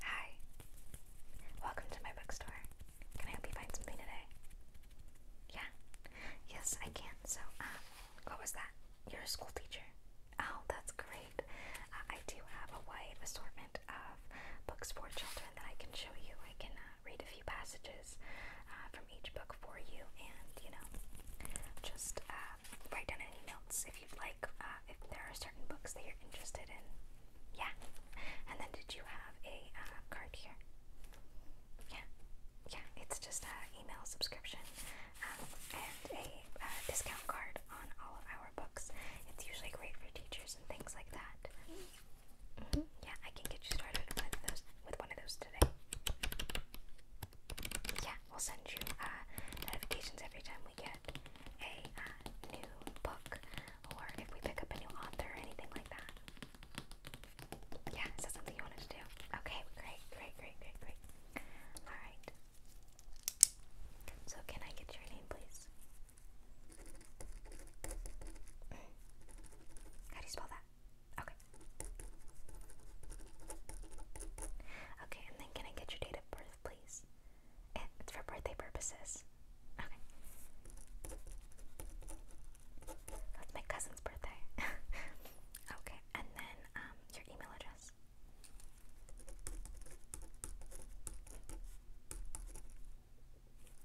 Hi. Welcome to my bookstore. Can I help you find something today? Yeah? Yes, I can. So, um, what was that? You're a school teacher. Oh, that's great. Uh, I do have a wide assortment of books for children that I can show you. I can uh, read a few passages uh, from each book for you and, you know, just write down any notes if if you'd like, uh, if there are certain books that you're interested in. Yeah. And then did you have a uh, card here? Yeah. Yeah, it's just an email subscription um, and a uh, discount card on all of our books. It's usually great for teachers and things like that. Mm -hmm. Yeah, I can get you started with those with one of those today. Yeah, we'll send you uh, notifications every time we get a uh, new book or if we pick up a new author anything like that. Yeah, is that something you wanted to do? Okay, great, great, great, great, great. Alright. So, can I get your name, please? How do you spell that? Okay. Okay, and then can I get your date of birth, please? It's for birthday purposes. Okay. That's my cousin's birthday. okay, and then um, your email address.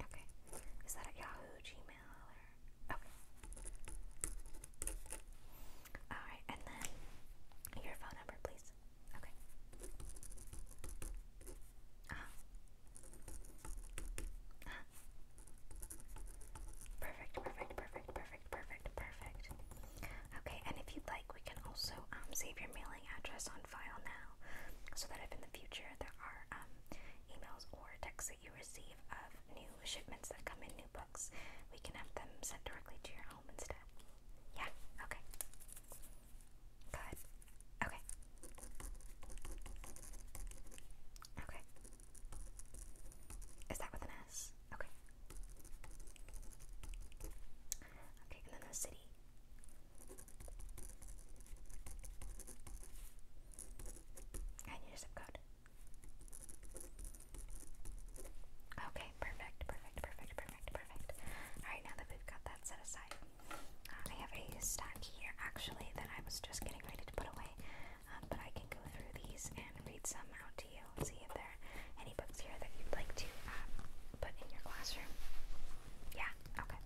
Okay. Is that at Yahoo, Gmail, or. Okay. Alright, and then your phone number, please. Okay. Uh-huh. Perfect, perfect, perfect, perfect, perfect, perfect. Okay, and if you'd like, we can also um, save your mailing address on file now so that if in the future there are um, emails or texts that you receive of new shipments that come in new books, we can have them sent directly to your home instead. Yeah, okay. Good. Okay. Okay. Is that with an S? Okay. Okay, and then the city. I need zip code. Okay, perfect, perfect, perfect, perfect, perfect. Alright, now that we've got that set aside, uh, I have a stack here actually that I was just getting ready to put away, um, but I can go through these and read some out to you and see if there are any books here that you'd like to uh, put in your classroom. Yeah, okay.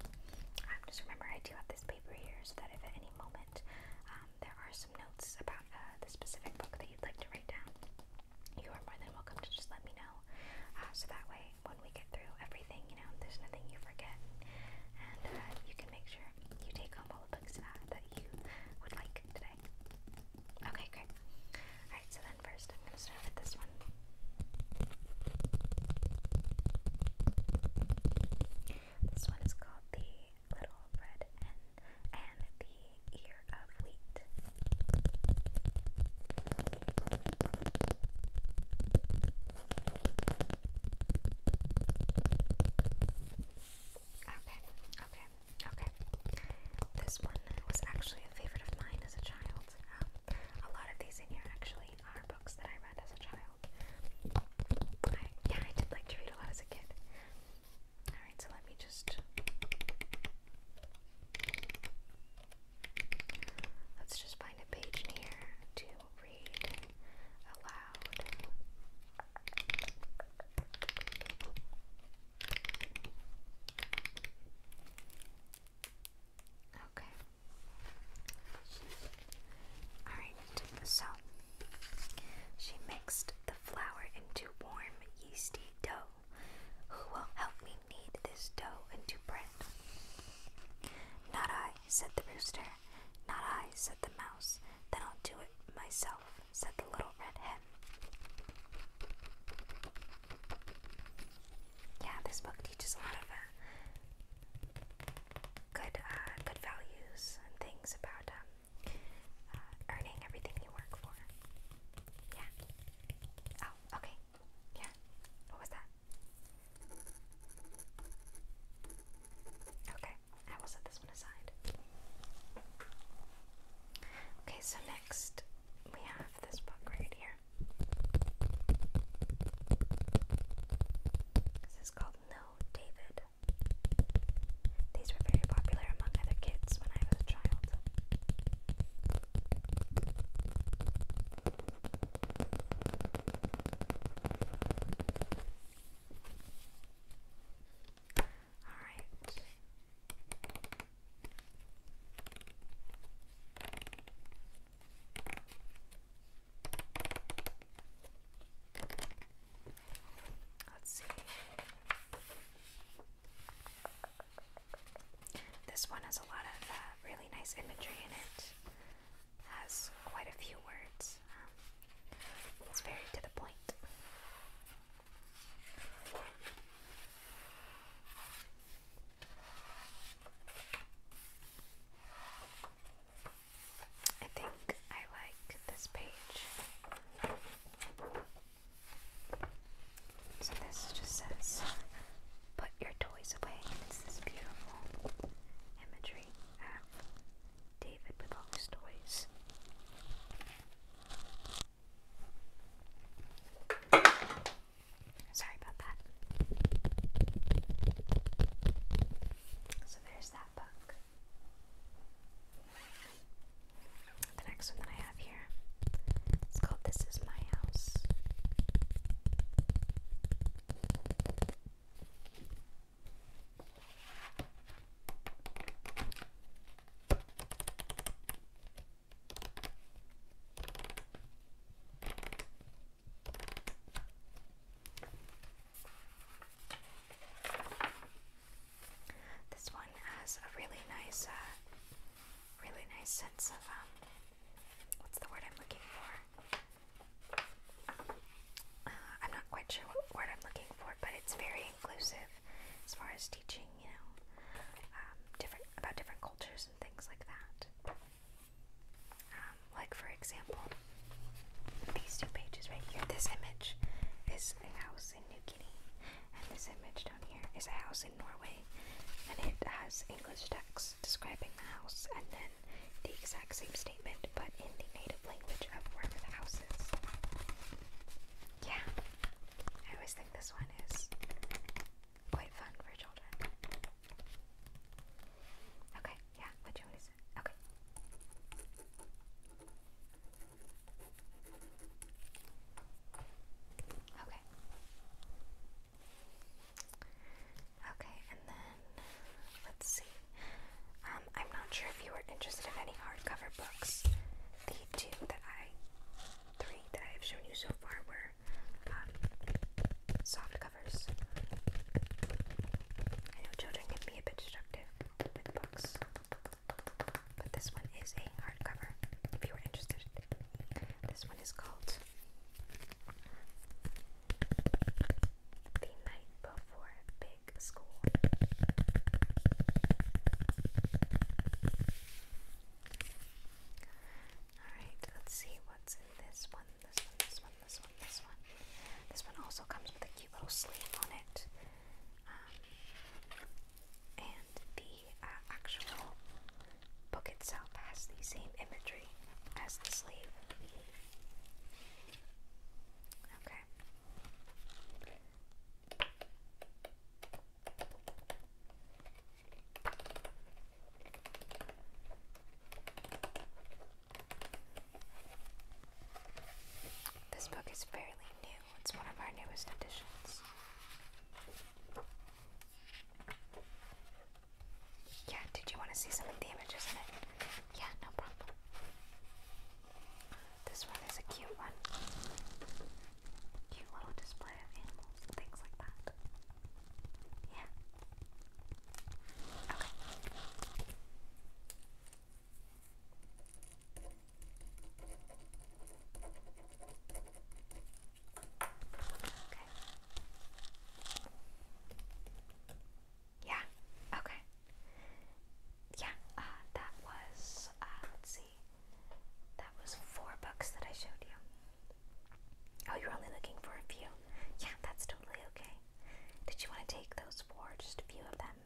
Um, just remember, I do have this paper here so that if at any moment um, there are some notes about uh, the specific book that you'd like to write down, you are more than welcome to just let me know. Uh, so that way, when we get through everything, you know, there's nothing you forget. And uh, you can make sure you take home all the books uh, that you would like today. Okay, great. Alright, so then first I'm going to start with this one. This one is called The Little Red Hen and the ear of Okay, okay, okay. This one was actually a favorite of mine as a child. Um, a lot of these in here actually are books that I read as a child. yeah, I did like to read a lot as a kid. Alright, so let me just. Let's just find a page here to read aloud. Okay. Alright, so she mixed the flour into warm, yeasty dough. Who will help me knead this dough into bread? Not I, said the rooster. Not I, said the mouse. Then I'll do it myself, said the little red hen. Yeah, this book teaches a lot of uh, good, uh, good values and things about um, uh, earning everything you work for. Yeah. Oh, okay. Yeah. What was that? Okay, I will set this one aside. Okay, so next we have this book right here. This is called No David these were very popular among other kids when I was a child. Alright. Let's see. This one has a lot of uh, really nice imagery in it. Has quite a few words. Um, it's very to the point. I think I like this page so this just says, put your toys away. it's this beautiful imagery of David with all his toys. Sorry about that. So there's that book. The next one that I have here, it's called This Is My House. This one has a really nice, uh, really nice sense of um, what's the word I'm looking for? Uh, I'm not quite sure what word I'm looking for, but it's very inclusive as far as teaching, you know, um, different about different cultures and things like that. Um, like for example, these two pages right here. This image is a house in New Guinea, and this image down here is a house in Norway, and it has English text describing the house, and then the exact same statement but in the native language of wherever the house is. Yeah, I always think this one is quite fun for children. Okay, yeah, what you Okay. Okay. Okay, and then let's see. Um, I'm not sure if you were interested in any hardcover books. The two that I, three that I have shown you so far were um, soft covers. I know children can be a bit destructive. But this one is a hardcover, if you were interested. This one is called The Night Before Big School. Alright, let's see what's in this one. This one, this one, this this one. This one also comes with a cute little sleeve on it. Um, and the uh, actual book itself has the same imagery as the sleeve. Okay. This book is fairly new, it's one of our newest editions. Yeah, did you want to see some of the images in it? Yeah, no problem. This one is a cute one. Cute little display of animals and things like that. Yeah. Okay. Yeah. Okay. Yeah. Uh, that was. Uh, let's see. That was four books that I showed you. Oh, you're only looking for a few. Yeah, that's totally okay. Did you want to take those four? Just a few of them?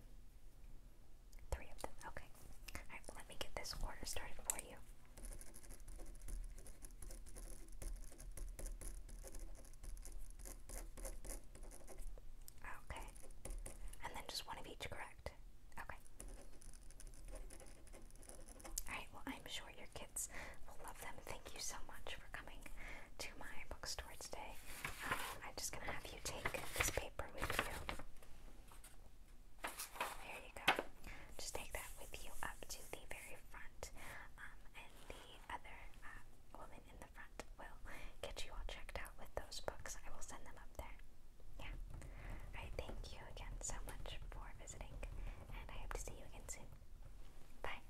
Three of them, okay. Alright, well, let me get this order started for you. Okay. And then just one of each, correct? Okay. Alright, well, I'm sure your kids will love them. Thank you so much for coming to my bookstore today. Um, I'm just going to have you take this paper with you. There you go. Just take that with you up to the very front, um, and the other um, woman in the front will get you all checked out with those books. I will send them up there. Yeah. I thank you again so much for visiting, and I hope to see you again soon. Bye.